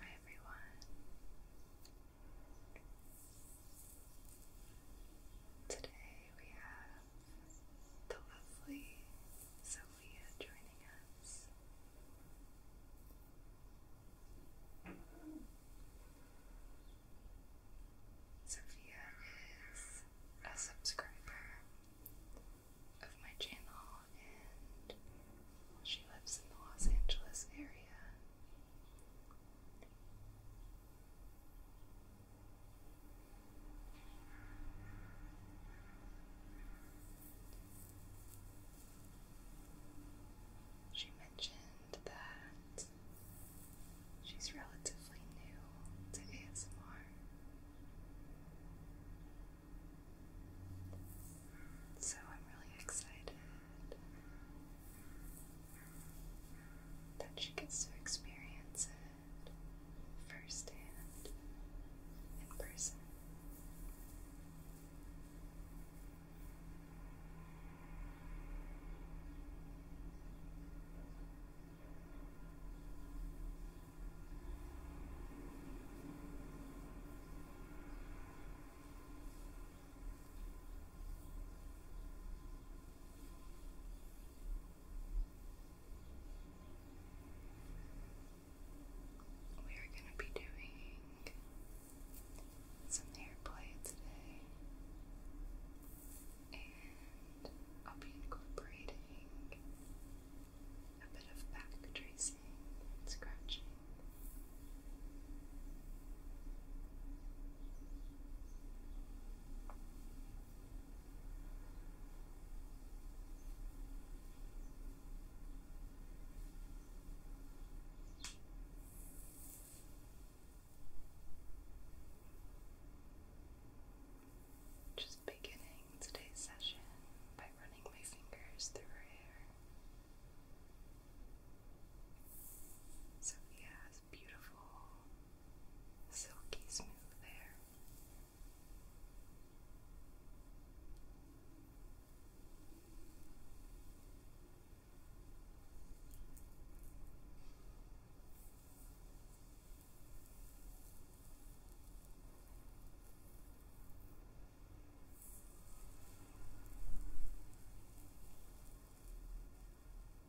Hi everyone. Today we have the lovely Sophia joining us. Sophia is a subscriber of my channel and she lives in the Los Angeles area. She mentioned that she's relatively new to ASMR. So I'm really excited that she gets to experience it firsthand in person. We are going to be doing some hair play today, and I'll be incorporating a bit of back tracing and scratching. Just beginning today's session by running my fingers through her hair. Sophia this beautiful silky smooth hair.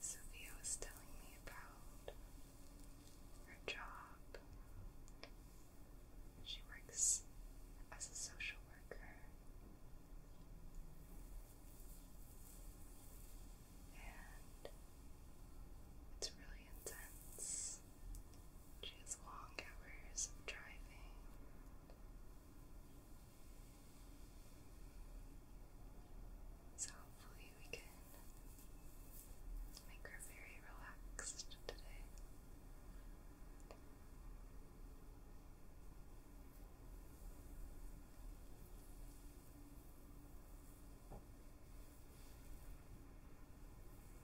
Sophia was telling me about her job. She works as a social worker. And it's really intense just long hours of driving. So hopefully we can make her very relaxed today.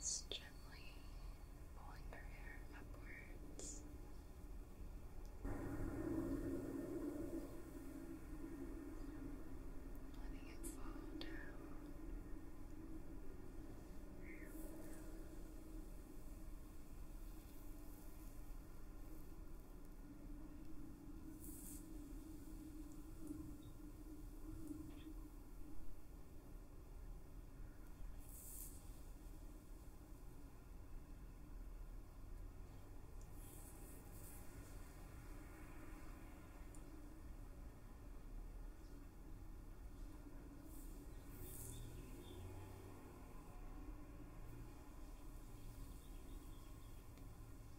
Just gently pulling her hair upwards. Letting it fall down. Letting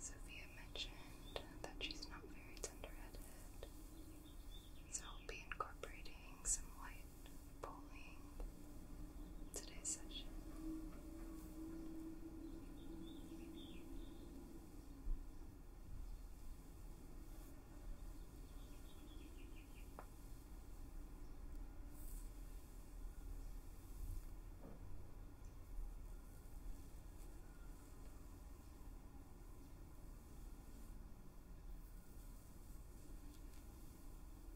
Sophia mentioned that she's not very tender-headed, so I'll be incorporating some white bowling today's session.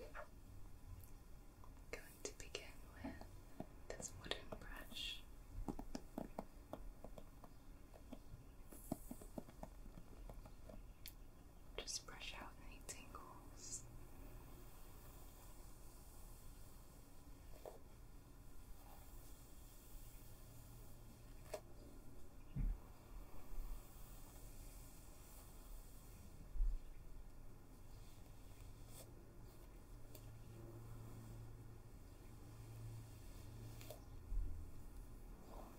I'm going to begin with this wooden brush. Just brush out any tingles.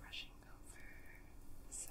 Brushing over the side.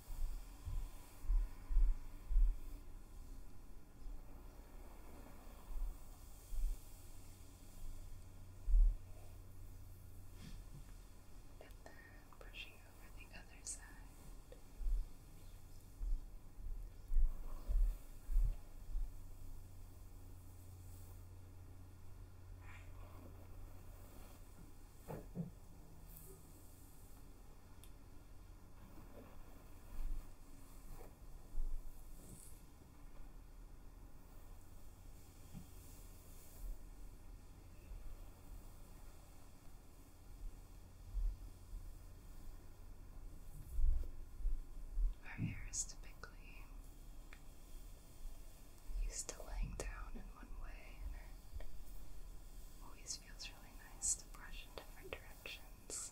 And then pushing over the other side. Our hair is typically used to laying down in one way Always feels really nice to brush in different directions.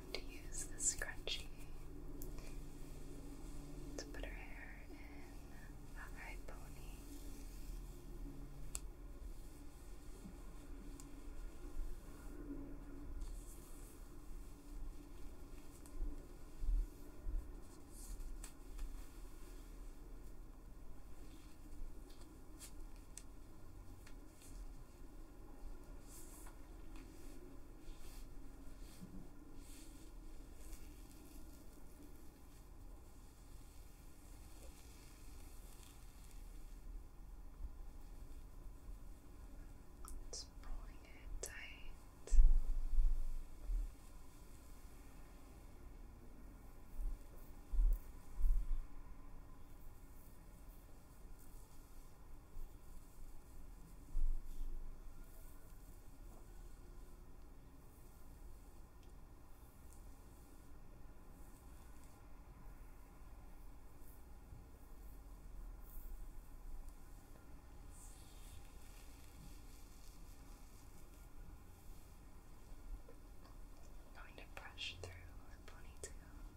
going to use the scrunchie to put her hair in a high pony. It's pulling it tight. I'm going to brush through her ponytail.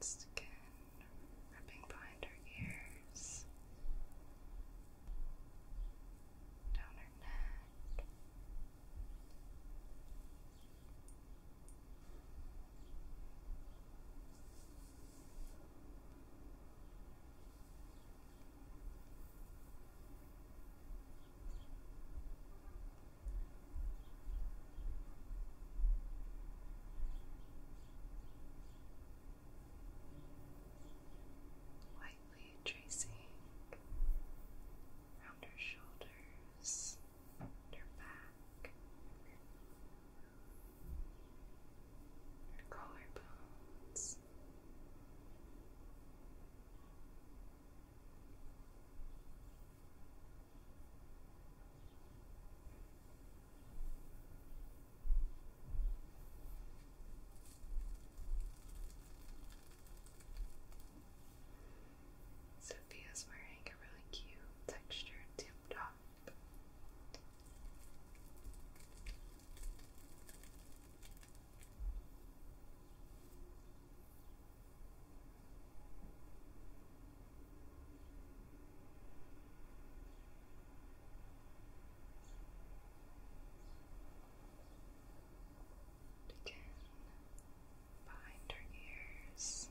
Skin rubbing behind her ears, down her neck. Lightly tracing around her shoulders her back, her collarbones, Sophia's wearing a really cute textured tip top. Again, behind her ears. Good.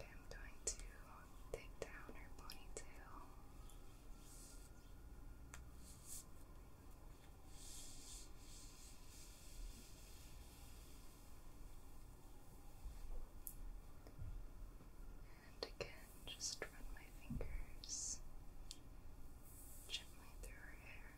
I'm going to take down her ponytail. And again, just run my fingers gently through her hair.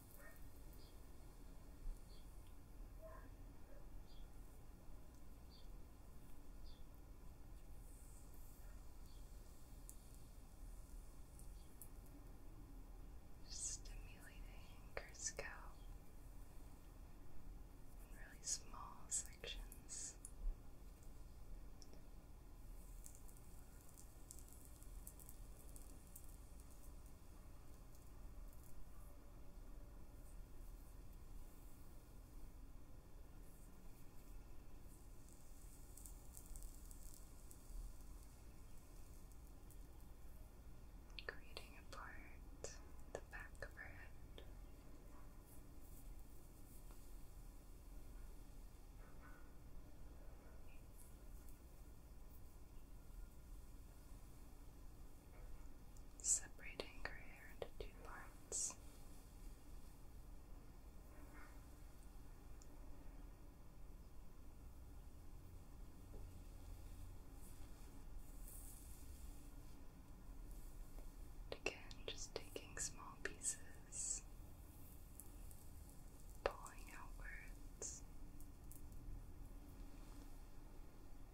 Stimulating her scalp in really small sections. Creating apart the back of her head separating her hair into two parts. again, just taking small pieces, pulling outwards.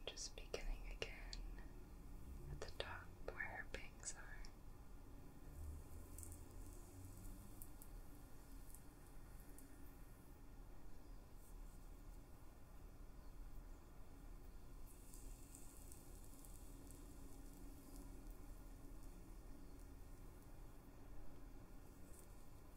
Just beginning again at the top where her bangs are.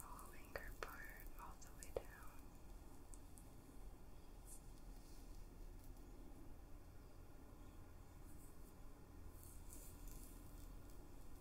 Following her part all the way down.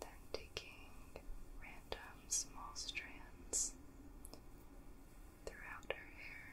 then taking random small strands throughout her hair.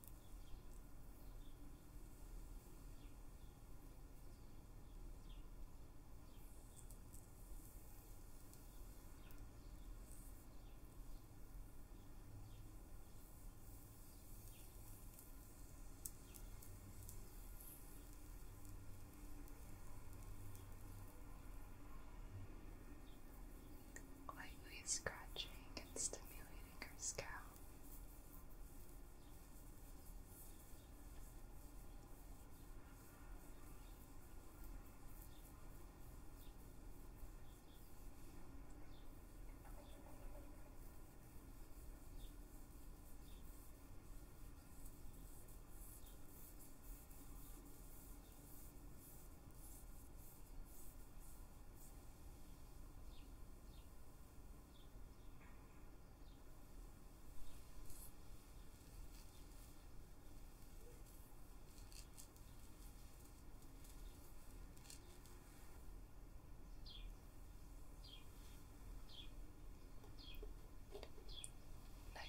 Lightly scratching and stimulating fingers go.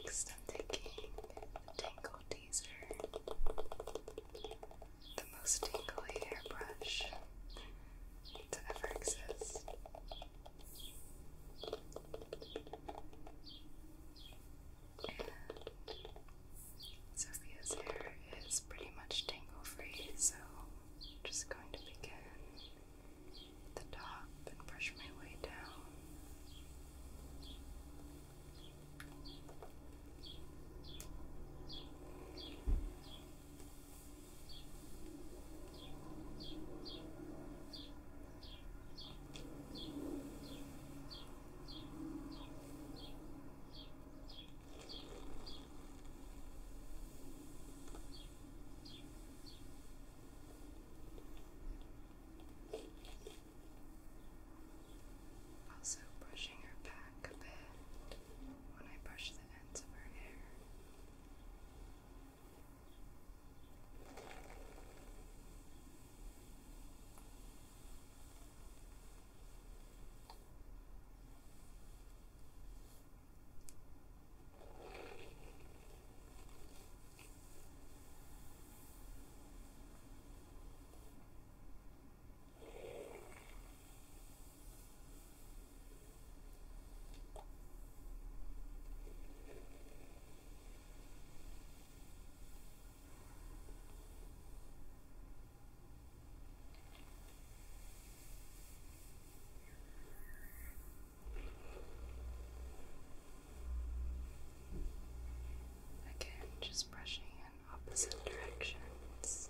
Next, I'm taking a tangle teaser the most tingly hairbrush to ever exist. Sophia's hair is pretty much tangle free, so just going to begin at the top and brush my way down. Also, brushing her back a bit when I brush the ends of her hair. I Again, just brushing in opposite directions.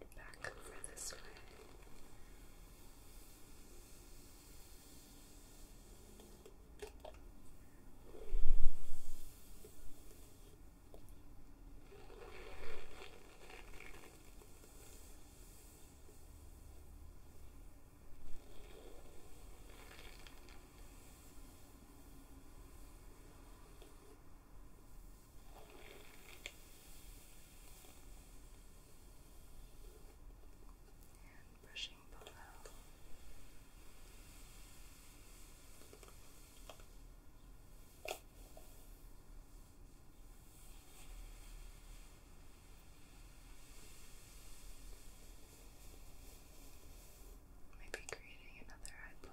And back over this way. And brushing below. Brushing Maybe creating another eyeball.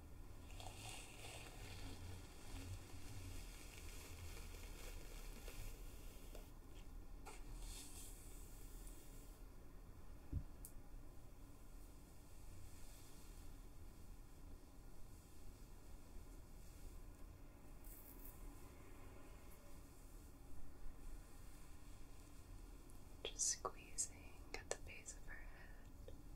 Just squeezing at the base of her head.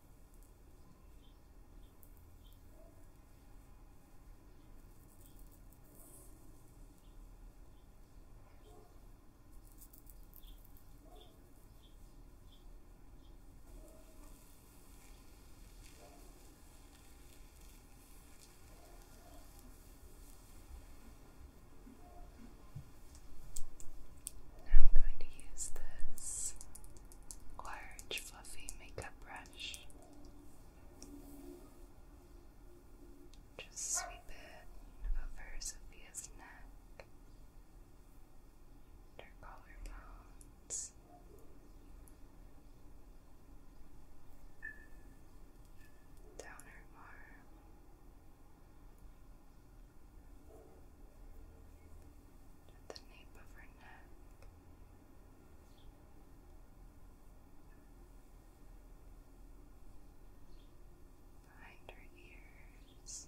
Now I'm going to use this large fluffy makeup brush. Just sweep it over Sophia's neck, and collarbones. Down her arm, at the nape of her neck. Behind her ears,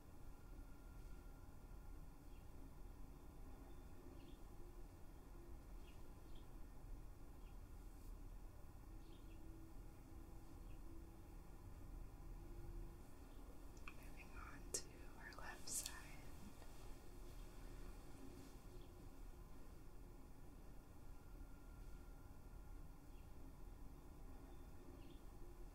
Moving on to our left side.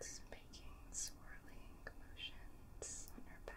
It's making swirling motions on her back.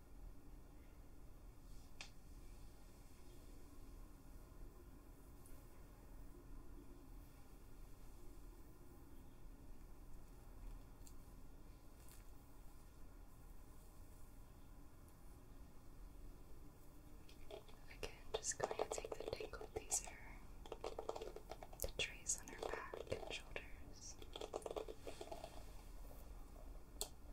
Again, just going to take the tangled these the trace on her back and shoulders.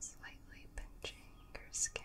Slightly pinching your skin.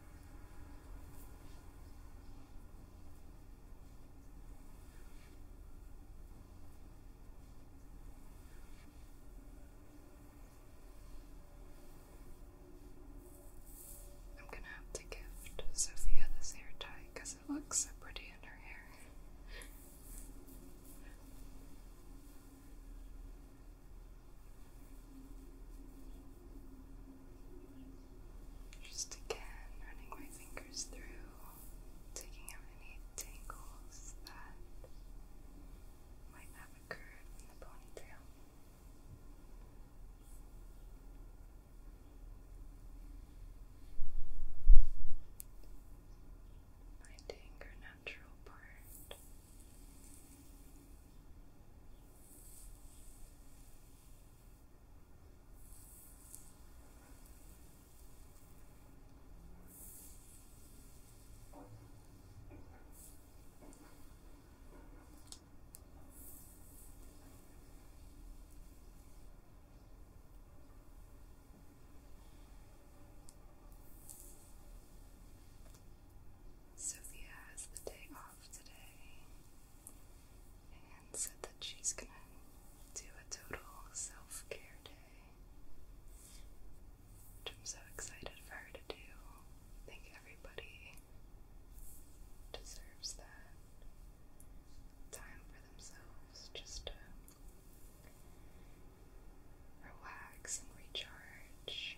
I'm gonna have to gift Sophia this hair tie because it looks so pretty in her hair. Just again, running my fingers through, taking out any tangles that might have occurred in the ponytail. Finding her natural part. Sophia has the day off today and said that she's gonna do a total self care day, I'm so excited for her to do. I think everybody deserves that time for themselves just to relax and recharge.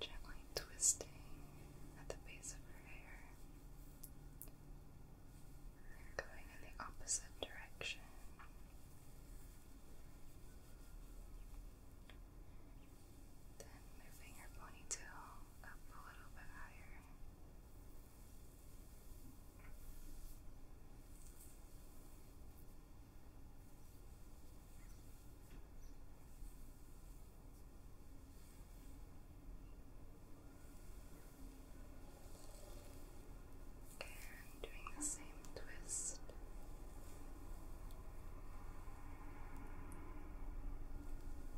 Gently twisting at the base of her hair. Going in the opposite direction. Then moving her ponytail up a little bit higher. And doing the same twist.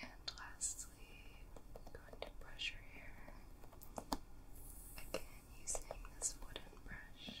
And lastly, going to brush your hair again using this wooden brush.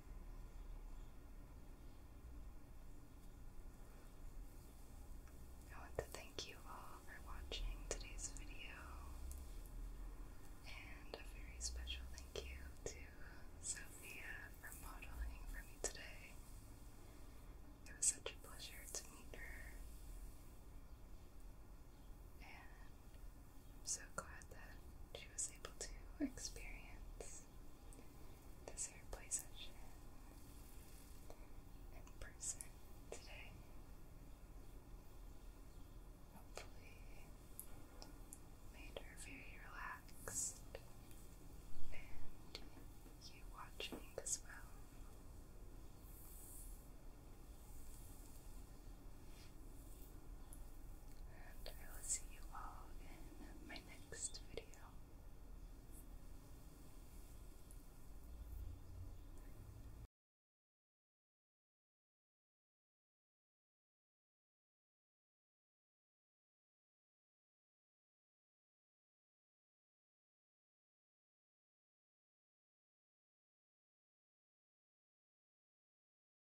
I want to thank you all for watching today's video, and a very special thank you to Sophia for modeling for me today. It was such a pleasure to meet her. And I'm so glad that she was able to experience this airplay session in person today. Hopefully, made her very relaxed, and you watching as well. And I will see you all in my next video.